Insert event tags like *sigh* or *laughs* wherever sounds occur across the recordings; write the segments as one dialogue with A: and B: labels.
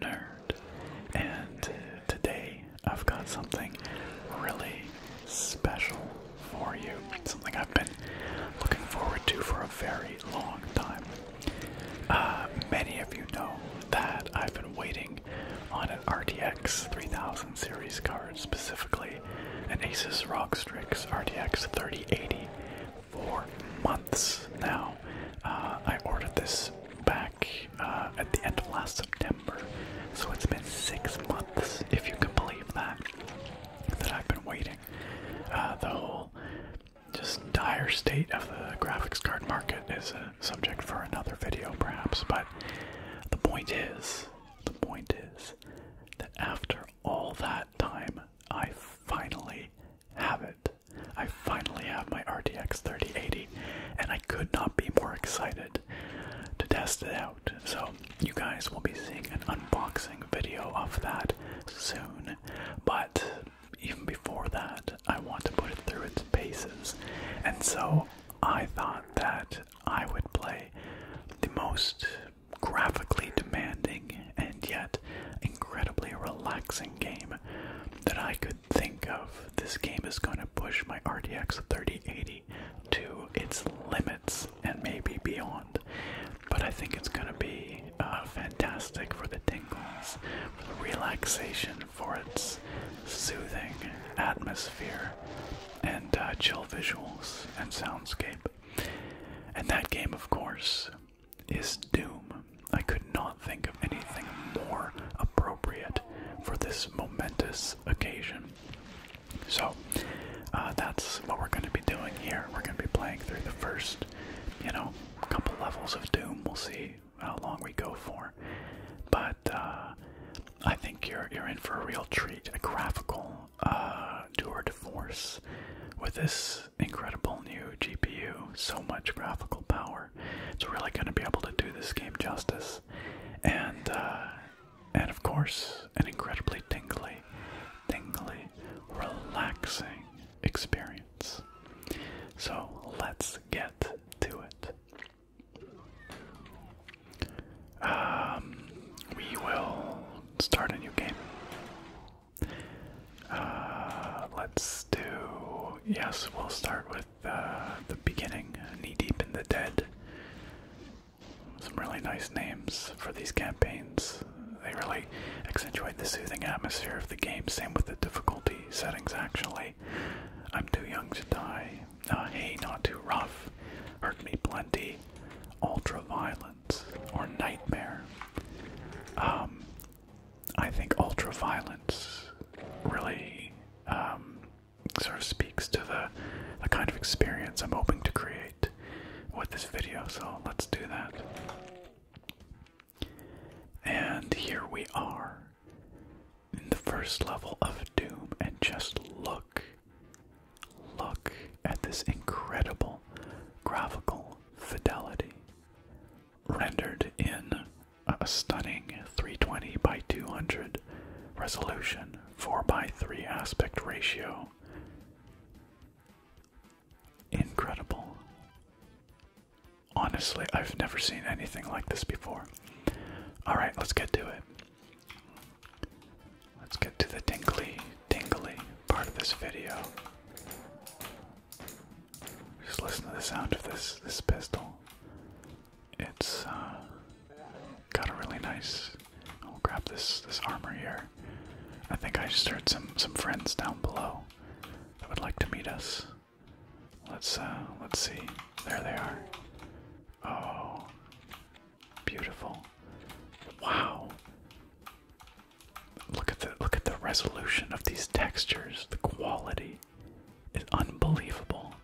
A: Nerd, and today I've got something really special for you. Something I've been looking forward to for a very long time. Uh, many of you know that I've been waiting on an RTX 3000 series card, specifically an Asus ROG Strix RTX 3080, for months now. Uh, I ordered this back uh, at the end of last September. So it's been six months, if you can believe that, that I've been waiting. Uh, the whole just dire state of the graphics card market is a subject for another video, perhaps. But the point is, the point is that after all that time, I finally have it. I finally have my RTX 3080, and I could not be more excited to test it out. So, you guys will be seeing an unboxing video of that soon. But even before that, I want to put it through its paces. And so, I thought that I would play the most graphically demanding and yet incredibly relaxing game that I could think of. This game is going to push my RTX 3080 to its limits and maybe beyond. But I think it's going to be uh, fantastic for the tingles, for the relaxation, for its soothing atmosphere, and uh, chill visuals and soundscape. And that game, of course, is doom. I could not think of anything more appropriate for this momentous occasion. So, uh, that's what we're going to be doing here. We're going to be playing through the first, you know, couple levels of Doom. We'll see how long we go for.
B: But uh, I think you're you're in for a real treat, a graphical uh, tour de force with this incredible new GPU. So
A: much graphical power it's really going to be able to do this game justice. And, uh, and of course, an incredibly tingly, tingly, relaxing experience. So let's get to it. Um, we will start a new game. Uh, let's do. Yes, we'll start with uh, the beginning. Knee Deep in the Dead. Some really nice names for these campaigns. They really accentuate the soothing atmosphere of the game. Same with the difficulty settings, actually. I'm too young to die. Uh, hey, not too rough. Hurt me plenty. Ultra violence or nightmare. Um, I think ultra violence really um, sort of speaks to the, the kind of experience I'm hoping to create with this video, so let's do that. And here we are in the first level of Doom, and just look, look at this incredible graphical fidelity rendered in a stunning 320 by 200 resolution, 4 by 3 aspect ratio. Incredible. Honestly, I've never seen anything like this before. Alright, let's get to it. Let's get to the tingly, tingly part of this video. Just listen to the sound of this this pistol. It's uh, got a really nice. I'll grab this this armor here. I think I just heard some some friends down below that would like to meet us. Let's uh, let's see. There they are. Oh, beautiful! Wow. Look at the look at the resolution of these textures, the quality. It's unbelievable.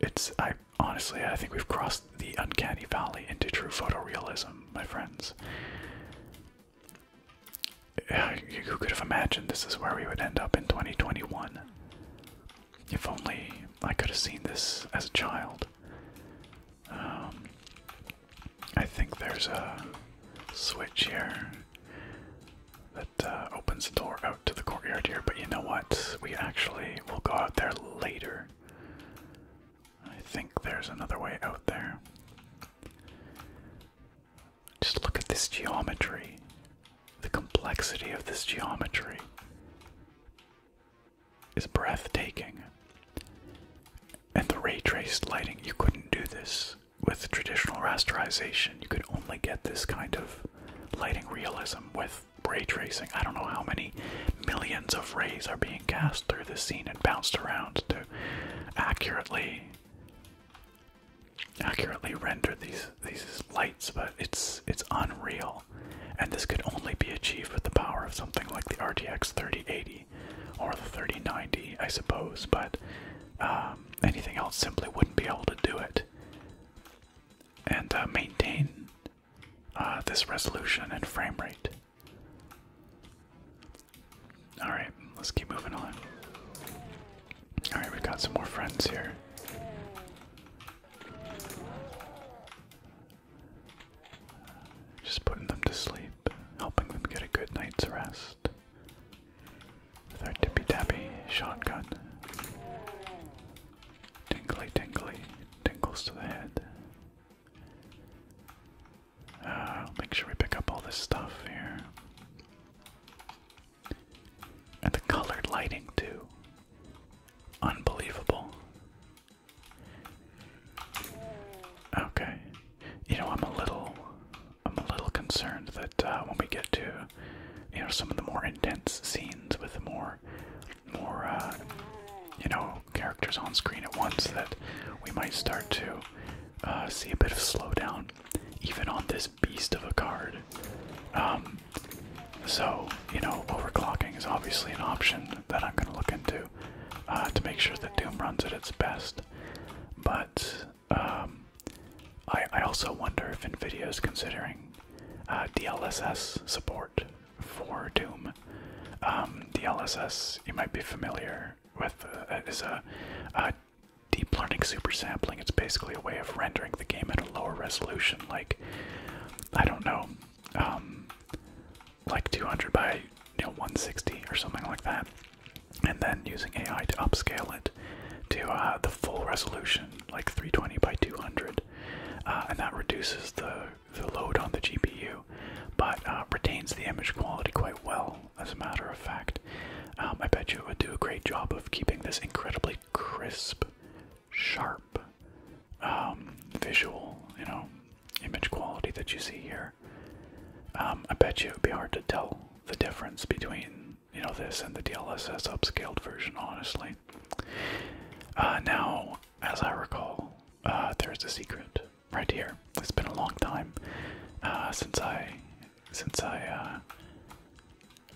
A: It's I honestly I think we've crossed the uncanny valley into true photorealism, my friends. Who could have imagined this is where we would end up in 2021? If only I could have seen this as a child. Um, I think there's a
B: switch here that uh, opens the door out to the courtyard here. But you know
A: what? We actually will go out there later. I think there's another way out there. Just look at this geometry, the complexity of this geometry is breathtaking. And the ray traced lighting, you couldn't do this with traditional rasterization, you could only get this kind of lighting realism with ray tracing. I don't know how many millions of rays are being cast through this scene and bounced around to accurately accurately render these these lights, but it's it's unreal. And this could only be achieved with the power of something like the RTX 3080 or the 3090, I suppose, but uh, um, anything else simply wouldn't be able to do
B: it. And uh, maintain uh, this resolution
A: and frame rate. Alright, let's keep moving on. Alright, we've got some more friends here. Just putting them to sleep, helping them get a good night's rest. With our tippy tappy shotgun. Tinkly, tinkly, tinkles to the head. Uh, make sure we pick up all this stuff here. And the colored lighting, too. Unbelievable. Okay. You know, I'm a little I'm a little concerned that uh, when we get to you know some of the more intense scenes with more more uh, you know characters on screen at once that we might start to uh, see a bit of slowdown even on this beast of a card. Um, so you know overclocking is obviously an option that I'm going to look into to make sure that Doom runs at its best. But um, I, I also wonder if Nvidia is considering uh, DLSS support for Doom. Um, DLSS, you might be familiar with, uh, is a, deep learning super sampling. It's basically a way of rendering the game at a lower resolution, like I don't know, um, like 200 by 160 or something like that and then using AI to upscale it to uh, the full resolution, like 320 by 200, uh, and that reduces the the load on the GPU, but uh, retains the image quality quite well. As a matter of fact, um, I bet you it would do a great job of keeping this incredibly crisp, sharp, um, visual, you know, image quality that you see here.
B: Um, I bet you it would be hard to tell the difference between you know this and the DLSS upscaled
A: version, honestly. Uh, now, as I recall, uh, there's a secret right here. It's been a long time uh, since I since I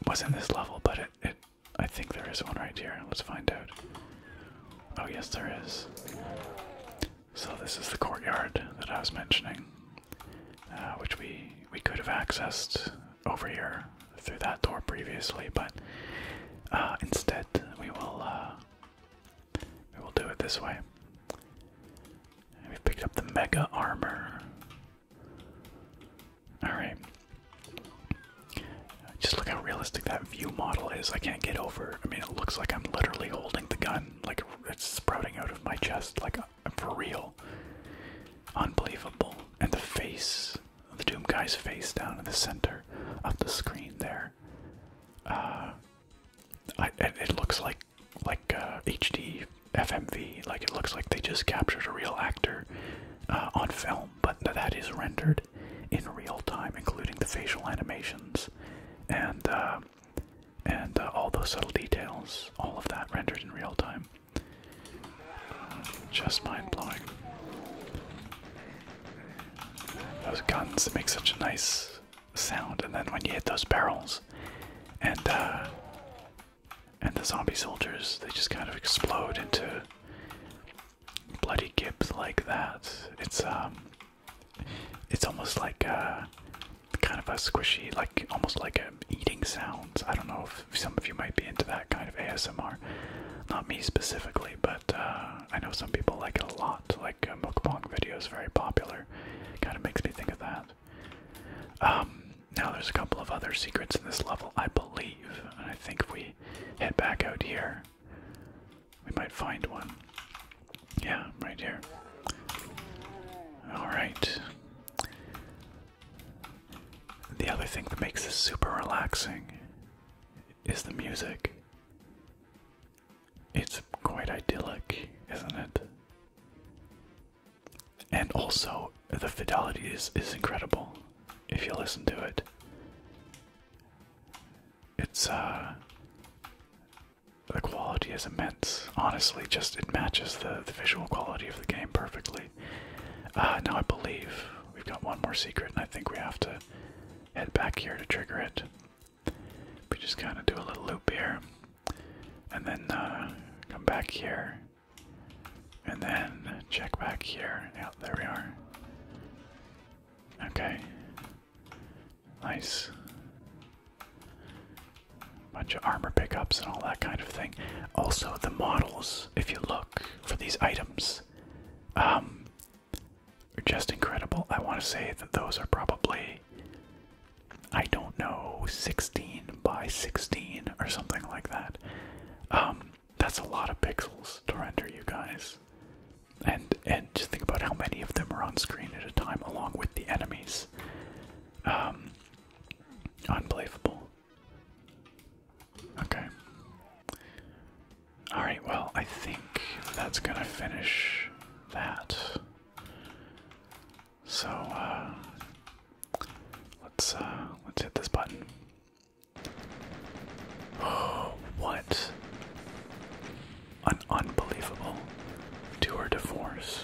A: was in this level, but it I think there is one right here. Let's find out. Oh yes, there is. So this is the courtyard that I was mentioning. Uh, which we we could have accessed over here through that door previously, but uh, instead we will uh, we will do it this way. we picked up the mega armor. All right. Just look how realistic that view model is. I can't get over. I mean, it looks like I'm literally holding the gun, like it's sprouting out of my chest, like for real. Unbelievable. And the face, the Doom guy's face down in the center of the screen there. Uh, it, looks
B: like like HD uh, FMV. Like it looks like they just captured a real actor
A: uh, on film, but that is rendered in real time, including the facial animations and um, and uh, all those subtle details, all of that rendered in real time. Just mind blowing. Those guns make such a nice sound, and then when you hit those barrels, and uh, and the zombie soldiers, they just kind of explode into bloody gibs like that. It's um, it's almost like uh, kind of a squishy, like almost like a eating sounds. I don't know if some of you might be into that kind of ASMR. Not me specifically, but uh, I know some people like it a lot. Like uh, mukbang videos, very popular. Kind of makes me think of that. Um, now there's a couple of other secrets in this level, I believe. And I think if we head back out here, we might find one. Yeah, right here. Alright. The other thing that makes this super relaxing is the music. It's quite idyllic, isn't it? And also, the fidelity is, is incredible if you listen to it. It's, uh, the quality is immense. Honestly, just it matches the, the visual quality of the game perfectly. Uh, now I believe we've got one more secret, and I think we have to head back here to trigger it. We just kind of do a little loop here, and then uh, come back here, and then check back here. Yeah, there we are. Okay. Nice bunch of armor pickups and all that kind of thing. Also, the models, if you look for these items, um, are just incredible. I want to say that those are probably, I don't know, 16 by 16 or something like that. Um, that's a lot of pixels to render, you guys. And and just think about how many of them are on screen at a time, along with the enemies. Um, unbelievable. Okay. Alright, well, I think that's gonna finish that. So, uh, let's, uh, let's hit this button. Oh, *gasps* what? an unbelievable tour de force.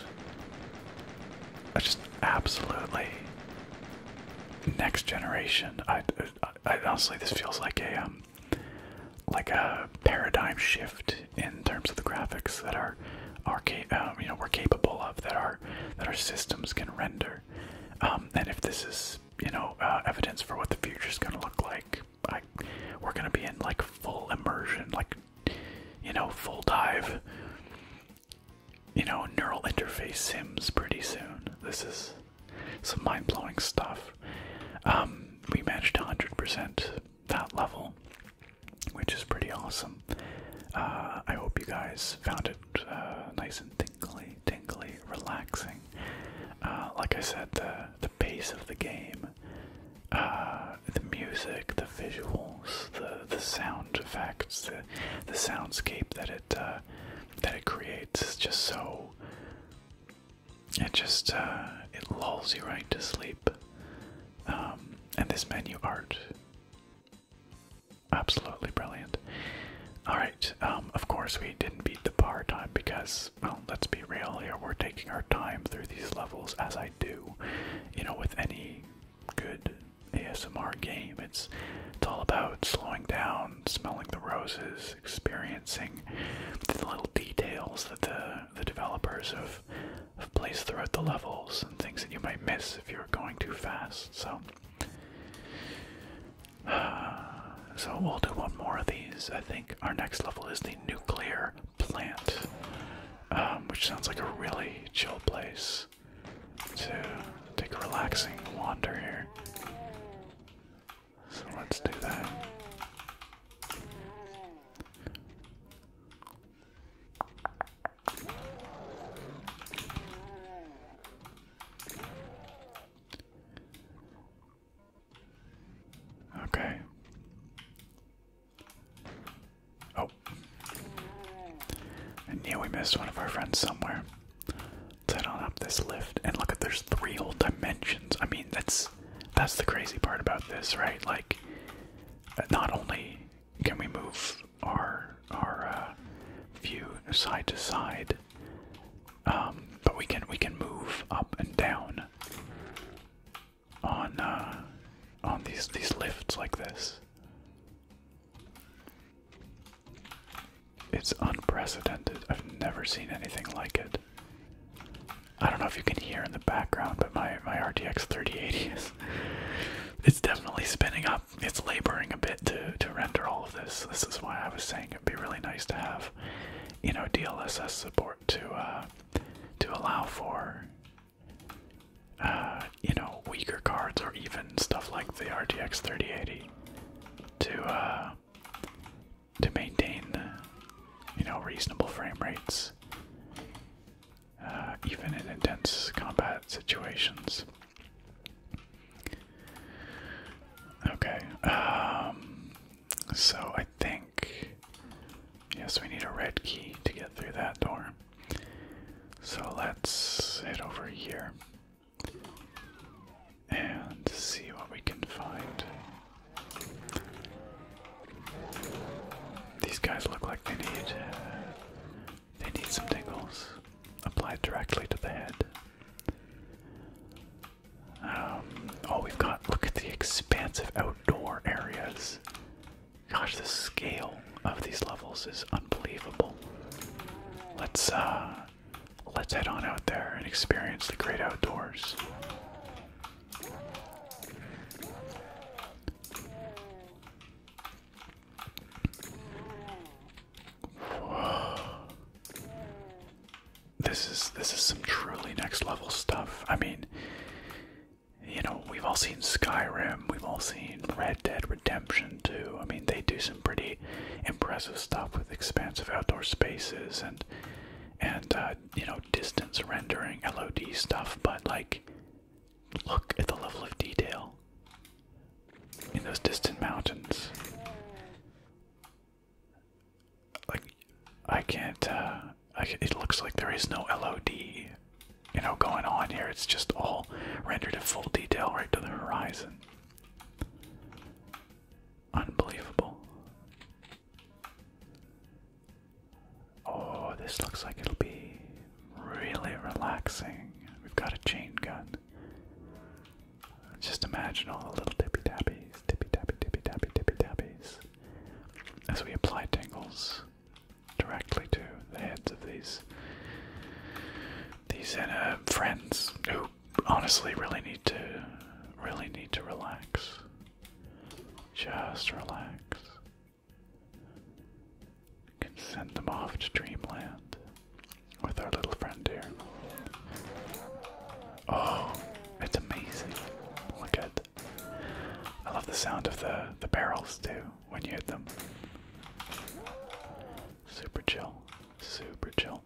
A: just absolutely next generation. honestly, this feels like a um, like a paradigm
B: shift in terms of the graphics that are are uh, you know we're capable of that our
A: that our systems can render. Um, and if this is you know uh, evidence for what the future is going to look like, we're going to be in like full immersion, like you know, full dive, you know, neural interface sims pretty soon. This is some mind blowing stuff. Um, we managed 100% that level, which is pretty awesome. Uh, I hope you guys found it uh, nice and tingly, tingly, relaxing. Uh, like I said, the the pace of the game uh, the music, the visuals, the the sound effects, the the soundscape that it uh, that it creates
B: is just so. It just uh, it lulls you right to sleep. Um, and this menu
A: art, absolutely brilliant. All right, um, of course we didn't beat the bar time because, well, let's be real here. We're taking our time
B: through these levels, as I do you know, with any good ASMR game, it's it's all about slowing down, smelling the roses, experiencing
A: the little details that the the developers have placed throughout the levels and things that you might miss if you're going too fast. So. *sighs* so we'll do one more of these. I think our next level is the nuclear plant, um, which sounds like a really chill place to take a relaxing wander here. So let's do that. Okay. Oh. I knew we missed one of our friends somewhere. Let's head on up this lift and look at there's three old dimensions. I mean that's that's the crazy part about this, right? Like not only can we move our our uh, view side to side, um, but we can we can move up and down on uh, on these these lifts like this. It's unprecedented. I've never seen anything like it. I don't know if you can hear in the background, but my my RTX 3080 is it's definitely spinning up. It's laboring a bit to to render all of this. This is why I was saying it'd be really nice to have, you know, DLSS support to uh, to allow for uh, you know, weaker cards or even stuff like the RTX 3080 to uh, to maintain, you know, reasonable frame rates, uh, even in intense combat situations. Okay, um, so I think Yes, we need a red key to get through that door. So let's head over here and see what we can find. These guys look like they need they need some tingles applied directly to the head. Um, oh, we've got look at the expansive outdoor areas. Gosh, the scale of these levels is
B: unbelievable. Let's uh let's head on out there and experience
A: the great outdoors. This is this is some truly next level stuff. I mean, you know, we've all seen Skyrim, we've all seen Red Dead Redemption too. I mean, they do some pretty impressive stuff with expansive outdoor spaces and and uh, you know, distance rendering, LOD stuff, but like look at the level of detail in those distant mountains.
B: Like I can't uh it looks like there is no LOD, you know, going
A: on here. It's just all rendered in full detail right to the horizon. Unbelievable. Oh, this looks like it'll be really relaxing. We've got a chain gun. Just imagine all the little tippy tappies, tippy tappy, tippy tappy, tippy tappies. As we apply tingles directly to the heads of these these uh,
B: friends who honestly really need to really need to relax.
A: Just relax. can send them off to dreamland with our little friend here. Oh, it's amazing. Look at I love the sound of the the barrels too when you hit them. Super chill, super chill.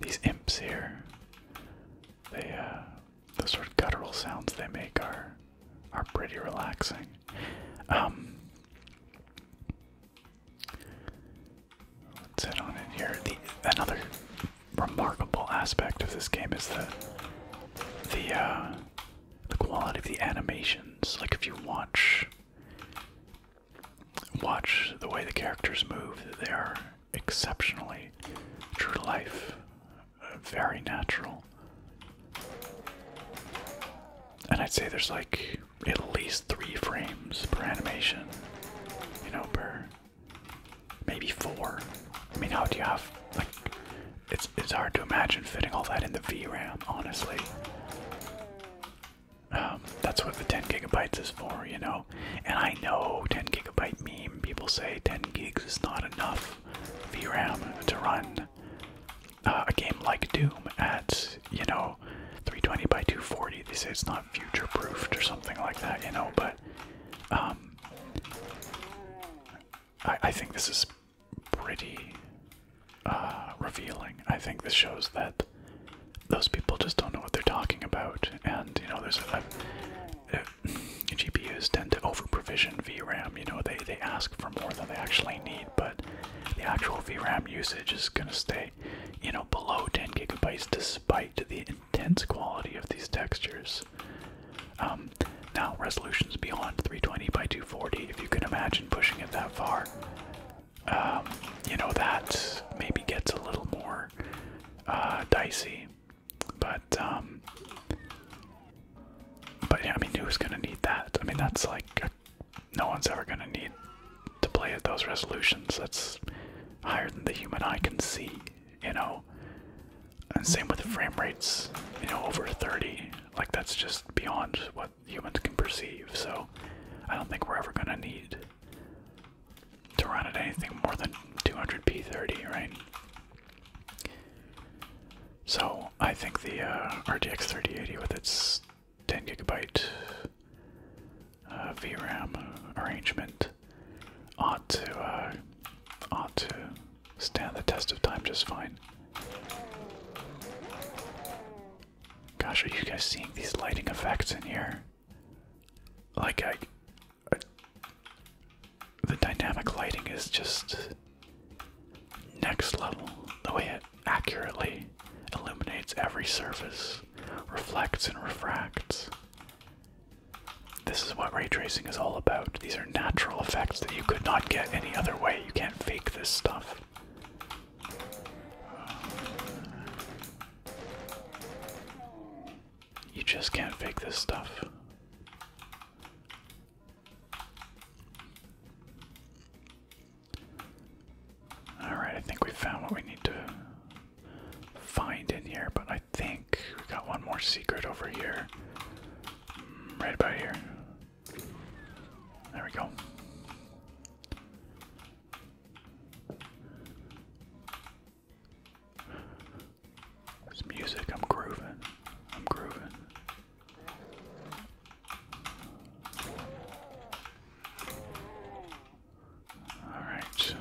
A: These imps here, they uh, the sort of guttural sounds they make are are pretty relaxing. Um, let on in here. another
B: remarkable aspect of this game is the the uh, the quality of the
A: animations. Like if you watch watch the way the characters move, they are exceptionally true to life, very natural. And I'd say there's like at least three frames per animation. You know, per maybe four. I mean, how do you have like? It's it's hard to imagine fitting all that in the VRAM, honestly. Um, that's what the 10 gigabytes is for, you know. And I know 10 gigabyte meme. People say 10 gigs is not enough VRAM to run uh, a game like Doom at you know, 320 by 240. They say it's not future proofed or something like that, you know, but um, I, think this is pretty uh, revealing. I think this shows that those people just don't know what they're talking about, and you know, there's a, uh, GPUs tend to over-provision VRAM. You know, they they ask for more than they actually need, but the actual VRAM usage is gonna stay you know, below 10 gigabytes despite the intense quality of these textures. Um, now, resolutions beyond 320 by 240, if you can imagine pushing it that far, um, you know, that maybe
B: gets a little more uh, dicey. But, um, but yeah, I mean, who's gonna
A: need that? I mean, that's like no one's ever going to need to play at those resolutions. That's higher than the human eye can see, you know? And same with frame rates, you know, over 30. Like, that's just beyond what humans can perceive. So, I don't think we're ever going to need to run at anything more than 200p30, right? So, I think the uh, RTX 3080 with its 10 gigabyte uh, VRAM arrangement ought to uh, ought to stand the test of time just fine. Gosh, are you guys seeing these lighting effects in here? Like the dynamic lighting is just next level. The way it accurately, illuminates every surface, reflects and refracts. This is what ray tracing is all about. These are natural effects that you could not get any other way. You can't fake this stuff. You just can't fake this stuff. Alright, I think we found what we need to find in here, but I think we got one more secret over here. Mm, right about here. There we go. It's music, I'm grooving. I'm grooving. All right.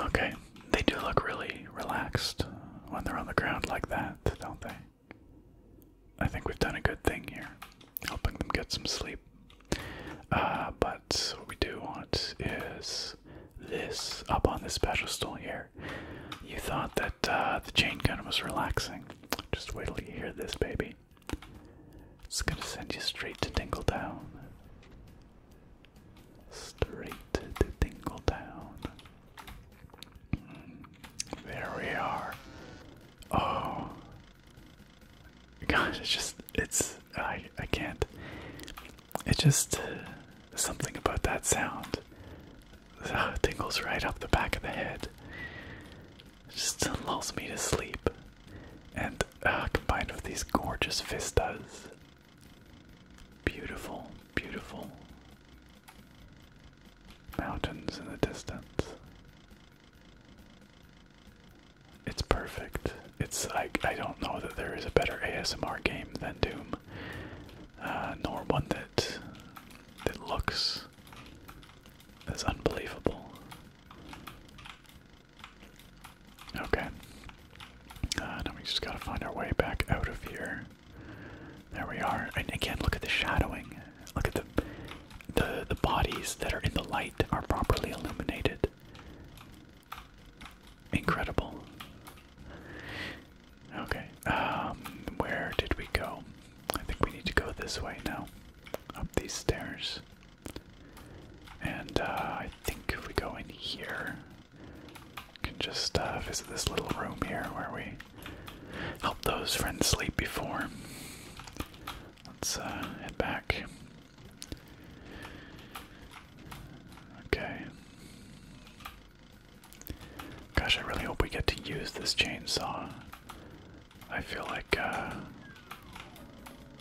A: Okay, they do look really relaxed when they're on the ground like that, don't they? I think we've done a good thing here, helping them get some sleep. Uh, but what we do want is this up on this special stool here. You thought that uh, the chain gun was relaxing. Just wait till you hear this, baby. It's gonna send you straight to Town. Straight to Town. Mm, there we are. Oh. *laughs* Gosh, it's just, it's, I, I can't. It's just, uh, something about that sound tingles right up the back of the head. just lulls me to sleep. And uh, combined with these gorgeous vistas. Beautiful, beautiful mountains in the distance. It's perfect. It's like I don't know that there is a better ASMR game than Doom, uh, nor one that that looks that's unbelievable. Okay. Uh, now we just gotta find our way back out of here. There we are. And again, look at the shadowing. Look at the the the bodies that are in the light are properly illuminated. Incredible. Okay. Um, where did we go? I think we need to go this way now, up these stairs. And uh, I think if we go in here, we can just uh, visit this little room here where we helped those friends sleep before. Let's uh, head back. Okay. Gosh, I really hope we get to use this chainsaw. I feel like, uh,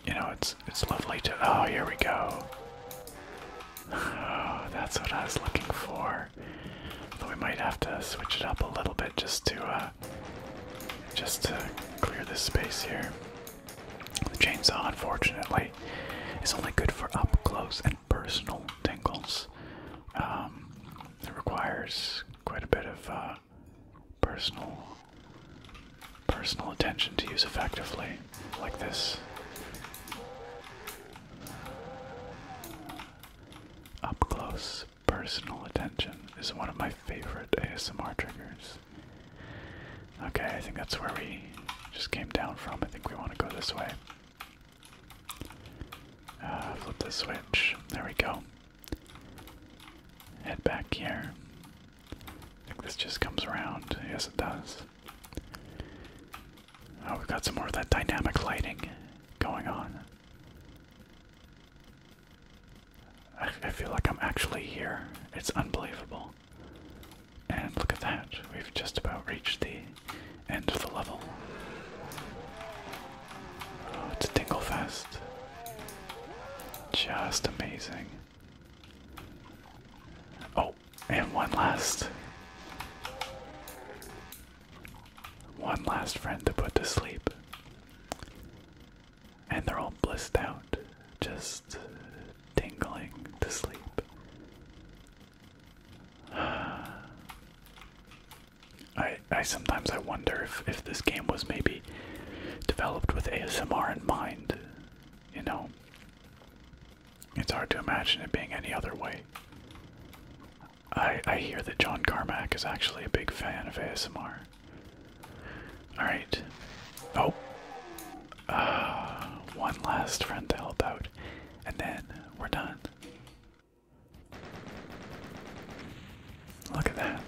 A: you know, it's it's lovely to. Oh, here we go. Oh, *sighs* that's what I was looking for. Though we might have to switch it up a little bit just to, uh, just to clear this space here. The chainsaw, unfortunately, is only good for up close and personal tingles. Um, it requires quite a bit of uh, personal personal attention to use effectively, like this. Up close, personal attention is one of my favorite ASMR triggers. Okay, I think that's where we just came down from. I think we want to go this way. Uh, flip the switch. There we go. Head back here. this just comes around. Yes, it does. Oh, we've got some more of that dynamic lighting going on. I feel like I'm actually here. It's unbelievable. And look at that. We've just about reached the end of the level. Oh, it's a tingle fest. Just amazing. Oh, and one last. One last friend to put to sleep. And they're all blissed out, just tingling to sleep. *sighs* I I sometimes I wonder if if this game was maybe developed with ASMR in mind. You know, it's hard to imagine it being any other way. I I hear that John Carmack is actually a big fan of ASMR. All right. Oh. Uh, one last friend to help out, and then we're done. Look at that.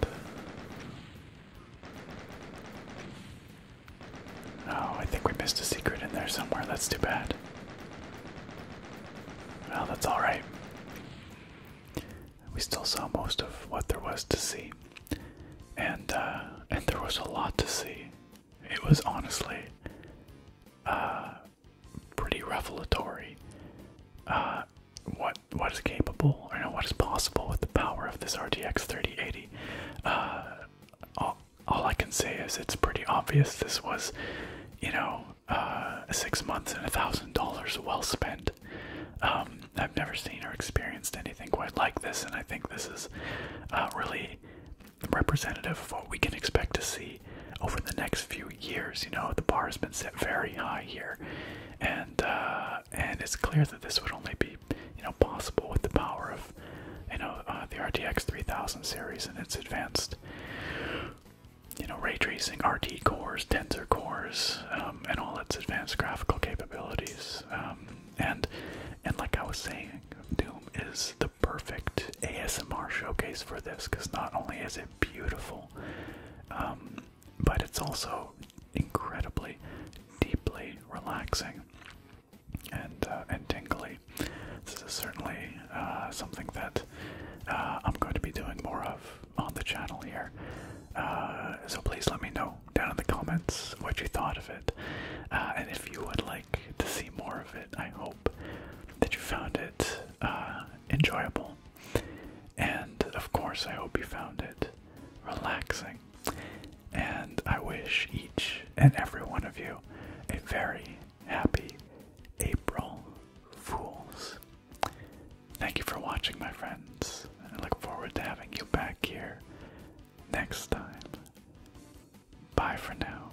A: Oh, I think we missed a secret in there somewhere. That's too bad. Well, that's alright. We still saw most of what there was to see. And, uh, and there was a lot to see. It was honestly, uh, pretty revelatory. Uh, what what is capable, or what is possible with the power of this RTX 3080? Uh, all, I can say is it's pretty obvious. This was, you know, uh, six months and a thousand dollars well spent. Um, I've never seen or experienced anything quite like this, and I think this is really representative of what we can expect to see over the next few years. You know, the bar has been set very high here, and uh, and it's clear that this would only be you know possible with the power of you know uh, the RTX 3000 series and its advanced you know ray tracing, RT cores, tensor
B: cores, um, and all its advanced graphical capabilities. Um, and and like I was saying, Doom is the perfect
A: ASMR showcase for this because not only is it beautiful um, but it's also incredibly, deeply relaxing and uh, and tingly. This is certainly uh, something that uh, I'm going to be doing more of on the channel here. Uh, so please let me know down in the comments what you thought of it, and if you would like to see more of it. I hope that you found it enjoyable and of course, I hope you found it relaxing. And I wish each and every one of you a very happy April Fools. Thank you for watching, my friends. I look forward to having you back here next time. Bye for now.